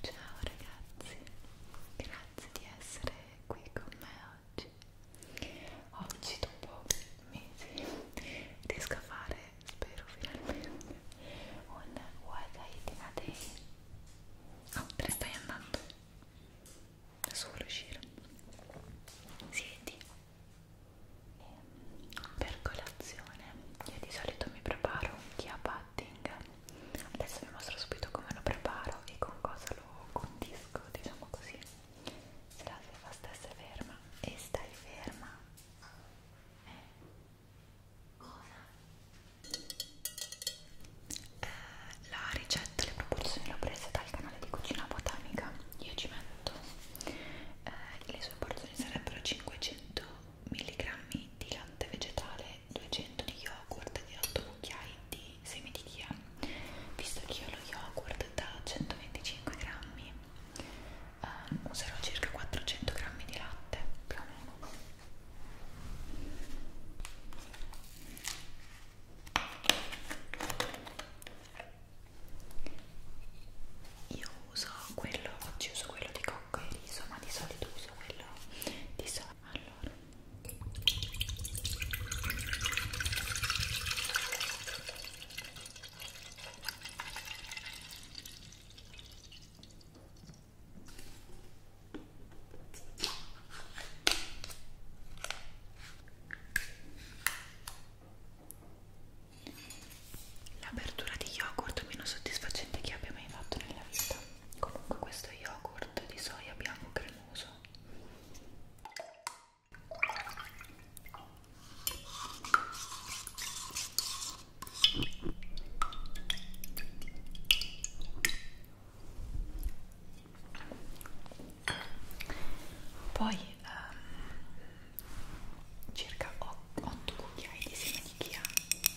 Ciao ragazzi, grazie di essere qui con me oggi. Oggi dopo mesi riesco a fare, spero finalmente, un What I Did a Day. Oh, te ne stai andando? Adesso vuole uscire. Siedi. Ehm, per colazione io di solito mi preparo un chiappa cutting adesso vi mostro subito come lo preparo e con cosa lo condisco diciamo così se la stiva stessa è ferma e stai ferma eh. cosa? Eh, la ricetta, le proporzioni le ho prese dal canale di cucina botanica io ci metto eh, le sue porzioni sarebbero 500 mg di latte vegetale, 200 di yogurt e 8 cucchiai di semi di chia visto che io lo yogurt da 125 grammi um, userò circa 400 grammi di latte più o meno io uso quello, oggi uso quello di cocco e riso, ma di solito uso quello di soia. Allora l'apertura di yogurt meno soddisfacente che abbia mai fatto nella vita comunque questo è yogurt di soia bianco cremoso poi um, circa 8 cucchiai di semi di chia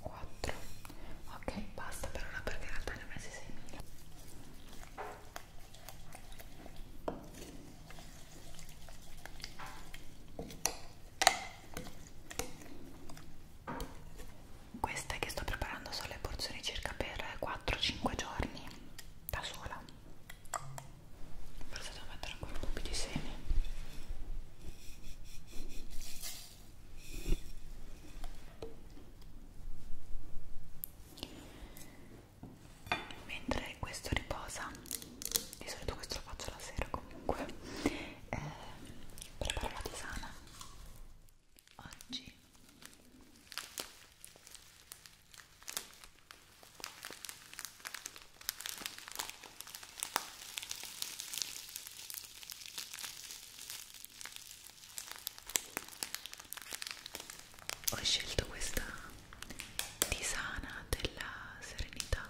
4 ok basta per ora perché in realtà ne ho messi 6.000 queste che sto preparando sono le porzioni circa per 4-5 giorni da sola forse devo mettere ancora un po' più di semi mentre questo riposa di solito questo lo faccio la sera comunque eh, preparo la tisana oggi ho scelto questa tisana della serenità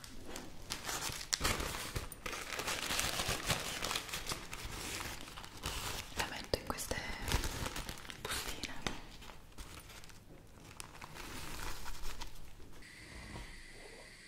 la metto in queste bustine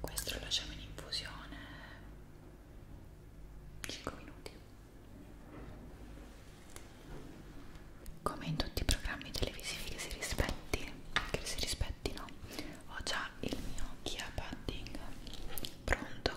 Questo lo lasciamo in infusione 5 minuti come in tutti i programmi televisivi che si rispetti che si rispettino ho già il mio Kia Padding pronto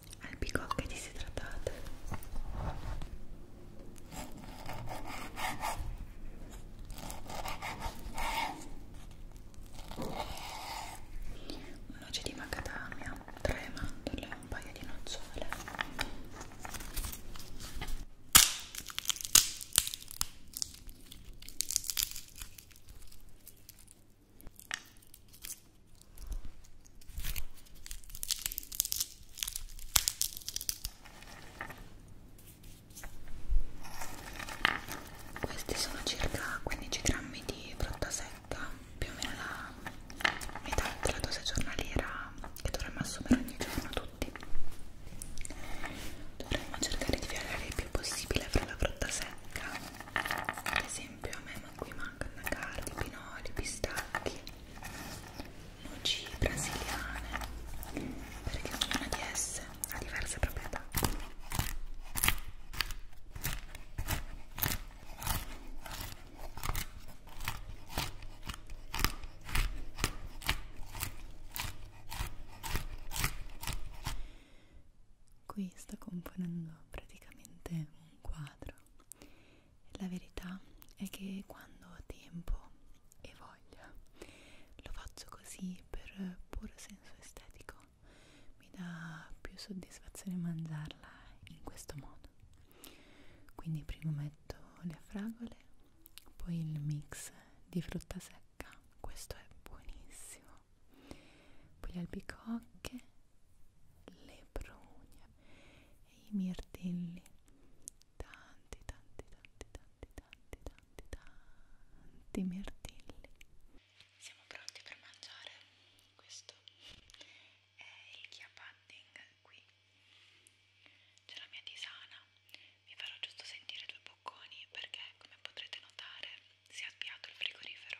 albicocche disidratate un noce di macadamia, tre mandorle e un paio di nocciole questi sono circa 15 grammi di frutta secca, più o meno la metà della dose giornaliera che dovremmo assumere ogni giorno tutti. Dovremmo cercare di variare il più possibile fra la frutta secca, ad esempio a me ma qui mancano cardi, pinoli, pistacchi, noci brasiliane perché ognuna di esse ha diverse proprietà Qui sto componendo praticamente un quadro. La verità è che quando ho tempo e voglia lo faccio così per puro senso estetico. Mi dà più soddisfazione mangiarla in questo modo. Quindi prima metto le fragole, poi il mix di frutta secca. Questo è buonissimo poi le albicocche, le prugne e i mirtilli. Tanti, tanti, tanti, tanti, tanti, tanti, tanti mirtilli. Siamo pronti per mangiare. Questo è il chia pudding qui. C'è la mia tisana. Vi farò giusto sentire due bocconi perché, come potrete notare, si è avviato il frigorifero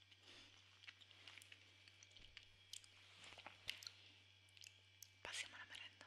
Passiamo alla merenda.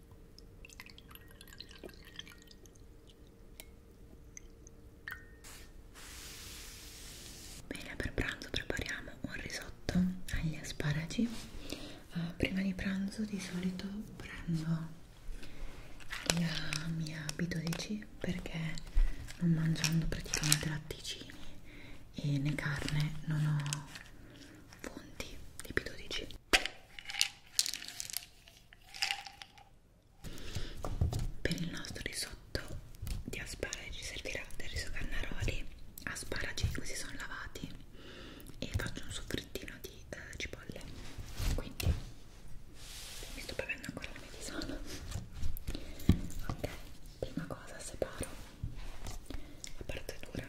Bene, per pranzo prepariamo un risotto agli asparagi. Uh, prima di pranzo di solito prendo la mia B12 perché non mangiando praticamente latticini e né carne non ho fonti di B12 per il nostro risotto di asparagi servirà del riso cannaroli, asparagi così sono lavati e faccio un soffrittino di eh, cipolle. Quindi mi sto bevendo ancora la medicina. Ok, prima cosa separo la parte dura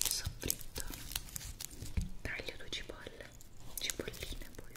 il soffritto taglio due cipolle cipolline poi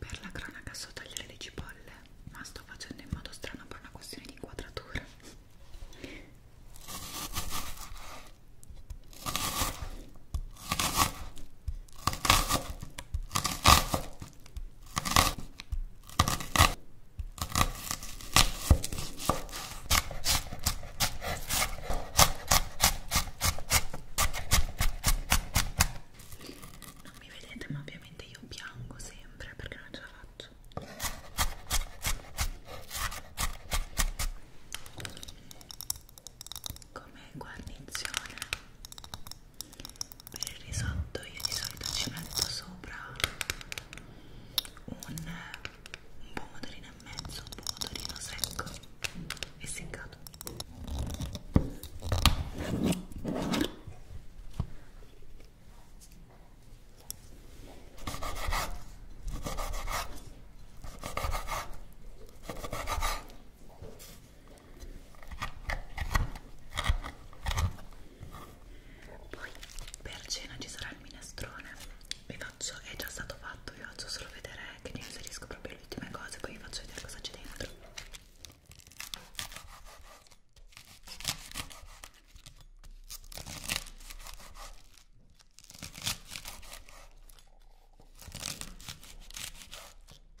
Per la cronaca so tagliare le cipolle, ma sto facendo in modo strano per una questione di inquadratura. Non mi vedete, ma ovviamente io piango sempre perché non ce la faccio. Come guarnizione per il risotto io di solito ci metto sopra un, un pomodorino e mezzo, un pomodorino secco e seccato poi per cena ci sarà il minestrone vi faccio, è già stato fatto vi faccio solo vedere che ne inserisco proprio le ultime cose poi vi faccio vedere cosa c'è dentro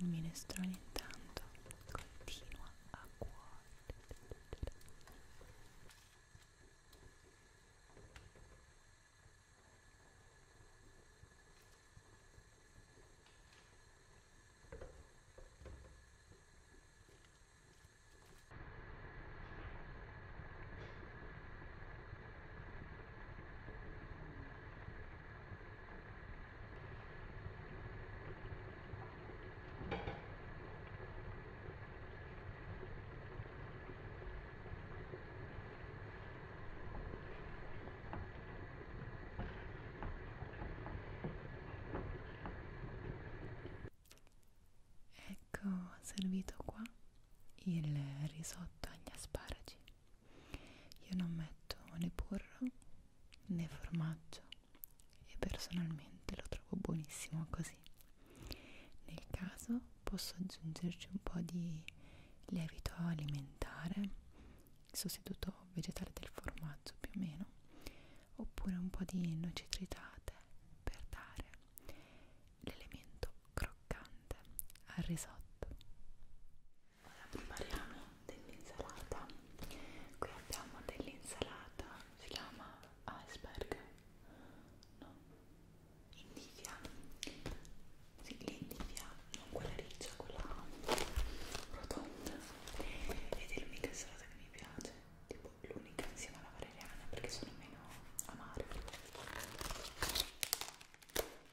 Il minestrone intanto continua a cuocere. Ecco servito qua il risotto agli asparagi io non metto né burro né formaggio e personalmente lo trovo buonissimo così. Nel caso posso aggiungerci un po' di lievito alimentare, sostituto vegetale del formaggio più o meno, oppure un po' di noci tritate per dare l'elemento croccante al risotto. Ora prepariamo dell'insalata. Qui abbiamo dell'insalata, si chiama iceberg, no, indivia, sì, l'indivia, non quella riccia, quella rotonda. Ed è l'unica insalata che mi piace, tipo l'unica insieme alla valeriana perché sono meno amare.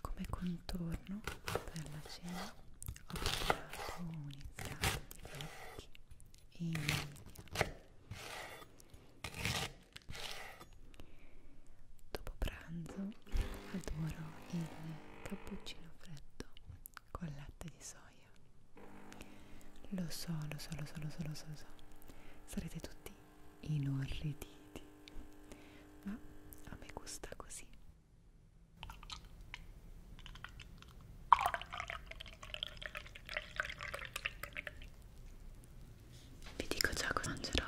Come contorno per la cena ho preparato un insalata di vecchi e media Dopo pranzo adoro il cappuccino freddo con latte di soia. Lo so, lo so, lo so, lo so, lo so, lo so. Sarete tutti inorriditi, ma a me gusta così vi dico già cosa mangerò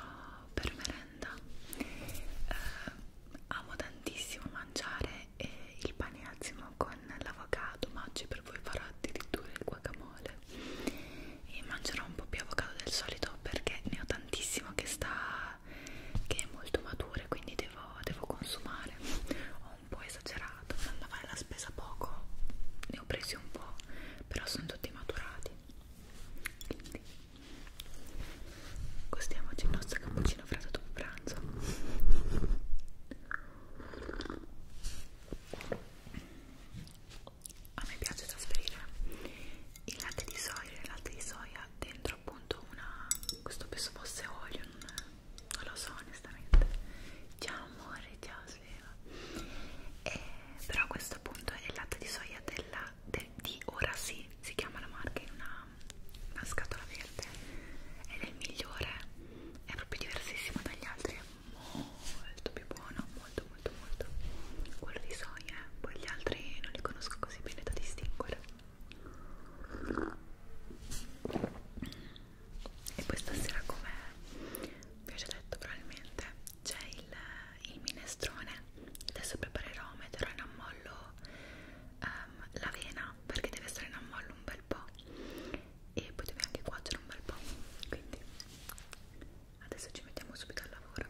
per merenda eh, amo tantissimo mangiare eh, il pane azimo con l'avocado ma oggi per voi farò addirittura il guacamole e mangerò un po' più avocado del solito perché ne ho tantissimo che sta che è molto matura quindi devo, devo consumare ho un po' esagerato maturato andando a fare la spesa poco ne ho presi un po' però sono tutti maturati quindi costiamoci il nostro cappuccino freddo dopo pranzo a me piace trasferire il latte di soia il latte di soia dentro appunto una questo penso fosse olio non, non lo so onestamente ciao amore ciao piaceva e, eh, però questo appunto è il latte di soia della, de, di ora sì si chiama la marca in una, una scatola verde ed è il migliore è proprio diversissimo dagli altri è molto più buono molto molto molto quello di soia eh. poi gli altri non li conosco così bene da distinguere e poi stasera come vi ho già detto probabilmente c'è il, il minestrone adesso preparerò, metterò in ammollo um, l'avena perché deve stare in ammollo un bel po' e poi deve anche cuocere un bel po' quindi adesso ci mettiamo subito al lavoro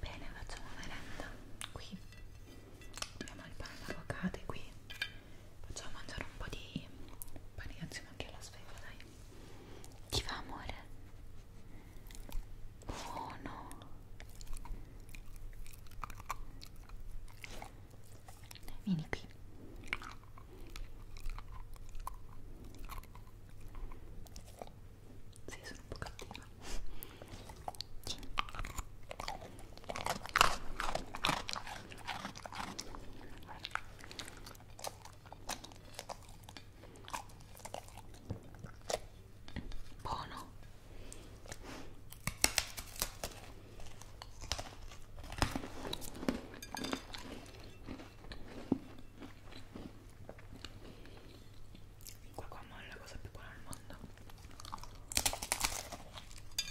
Bene, facciamo una merenda qui. Abbiamo il pane d'avocado qui facciamo mangiare un po' di pane insieme anche alla sfera dai ti va amore? oh no vieni qui sì, sono un po' cattiva sì buono il guacamole è la cosa più buona al mondo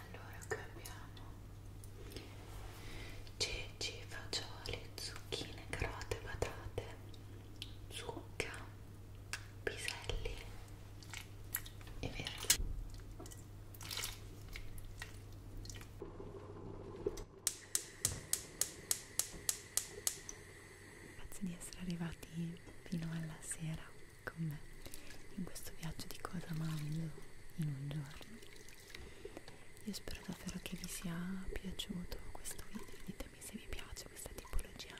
Allora cambiamo ceci, fagioli, zucchine, carote, patate, zucca piselli e verdi grazie di essere arrivati fino alla sera con me in questo viaggio di cosa mangio in un giorno io spero davvero che vi sia piaciuto questo video ditemi se vi piace questa tipologia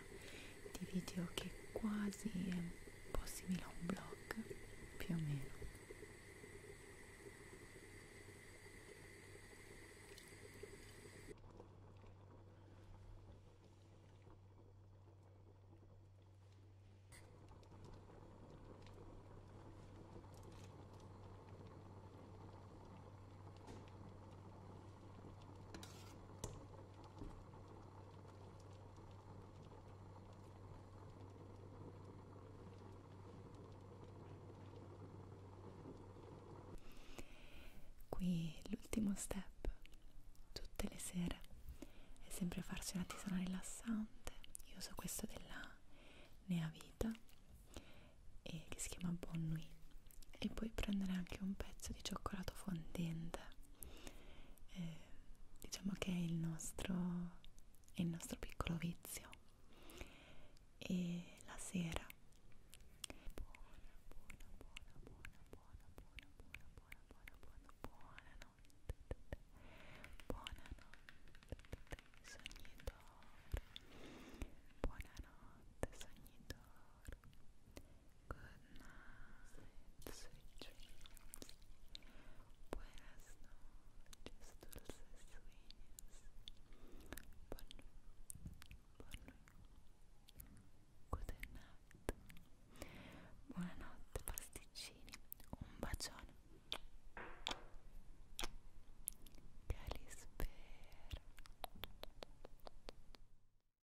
di video che quasi è un un po' simile a un blog più o meno Qui l'ultimo step, tutte le sere, è sempre farsi una tisana rilassante. Io uso questo della Nea Vita e che si chiama Bon Nuit. E poi prendere anche un pezzo di cioccolato fondente eh, diciamo che è il nostro, è il nostro piccolo vizio e la sera buona buona buona buona buona buona buona buona buona buona buona notte buonanotte sogni d'oro buonanotte sogni d'oro Good night, sweet dreams. Buenas noches, dulces sueños. Bonne, bonne, good night. Buonanotte, pasticcini. Un bacione. Che li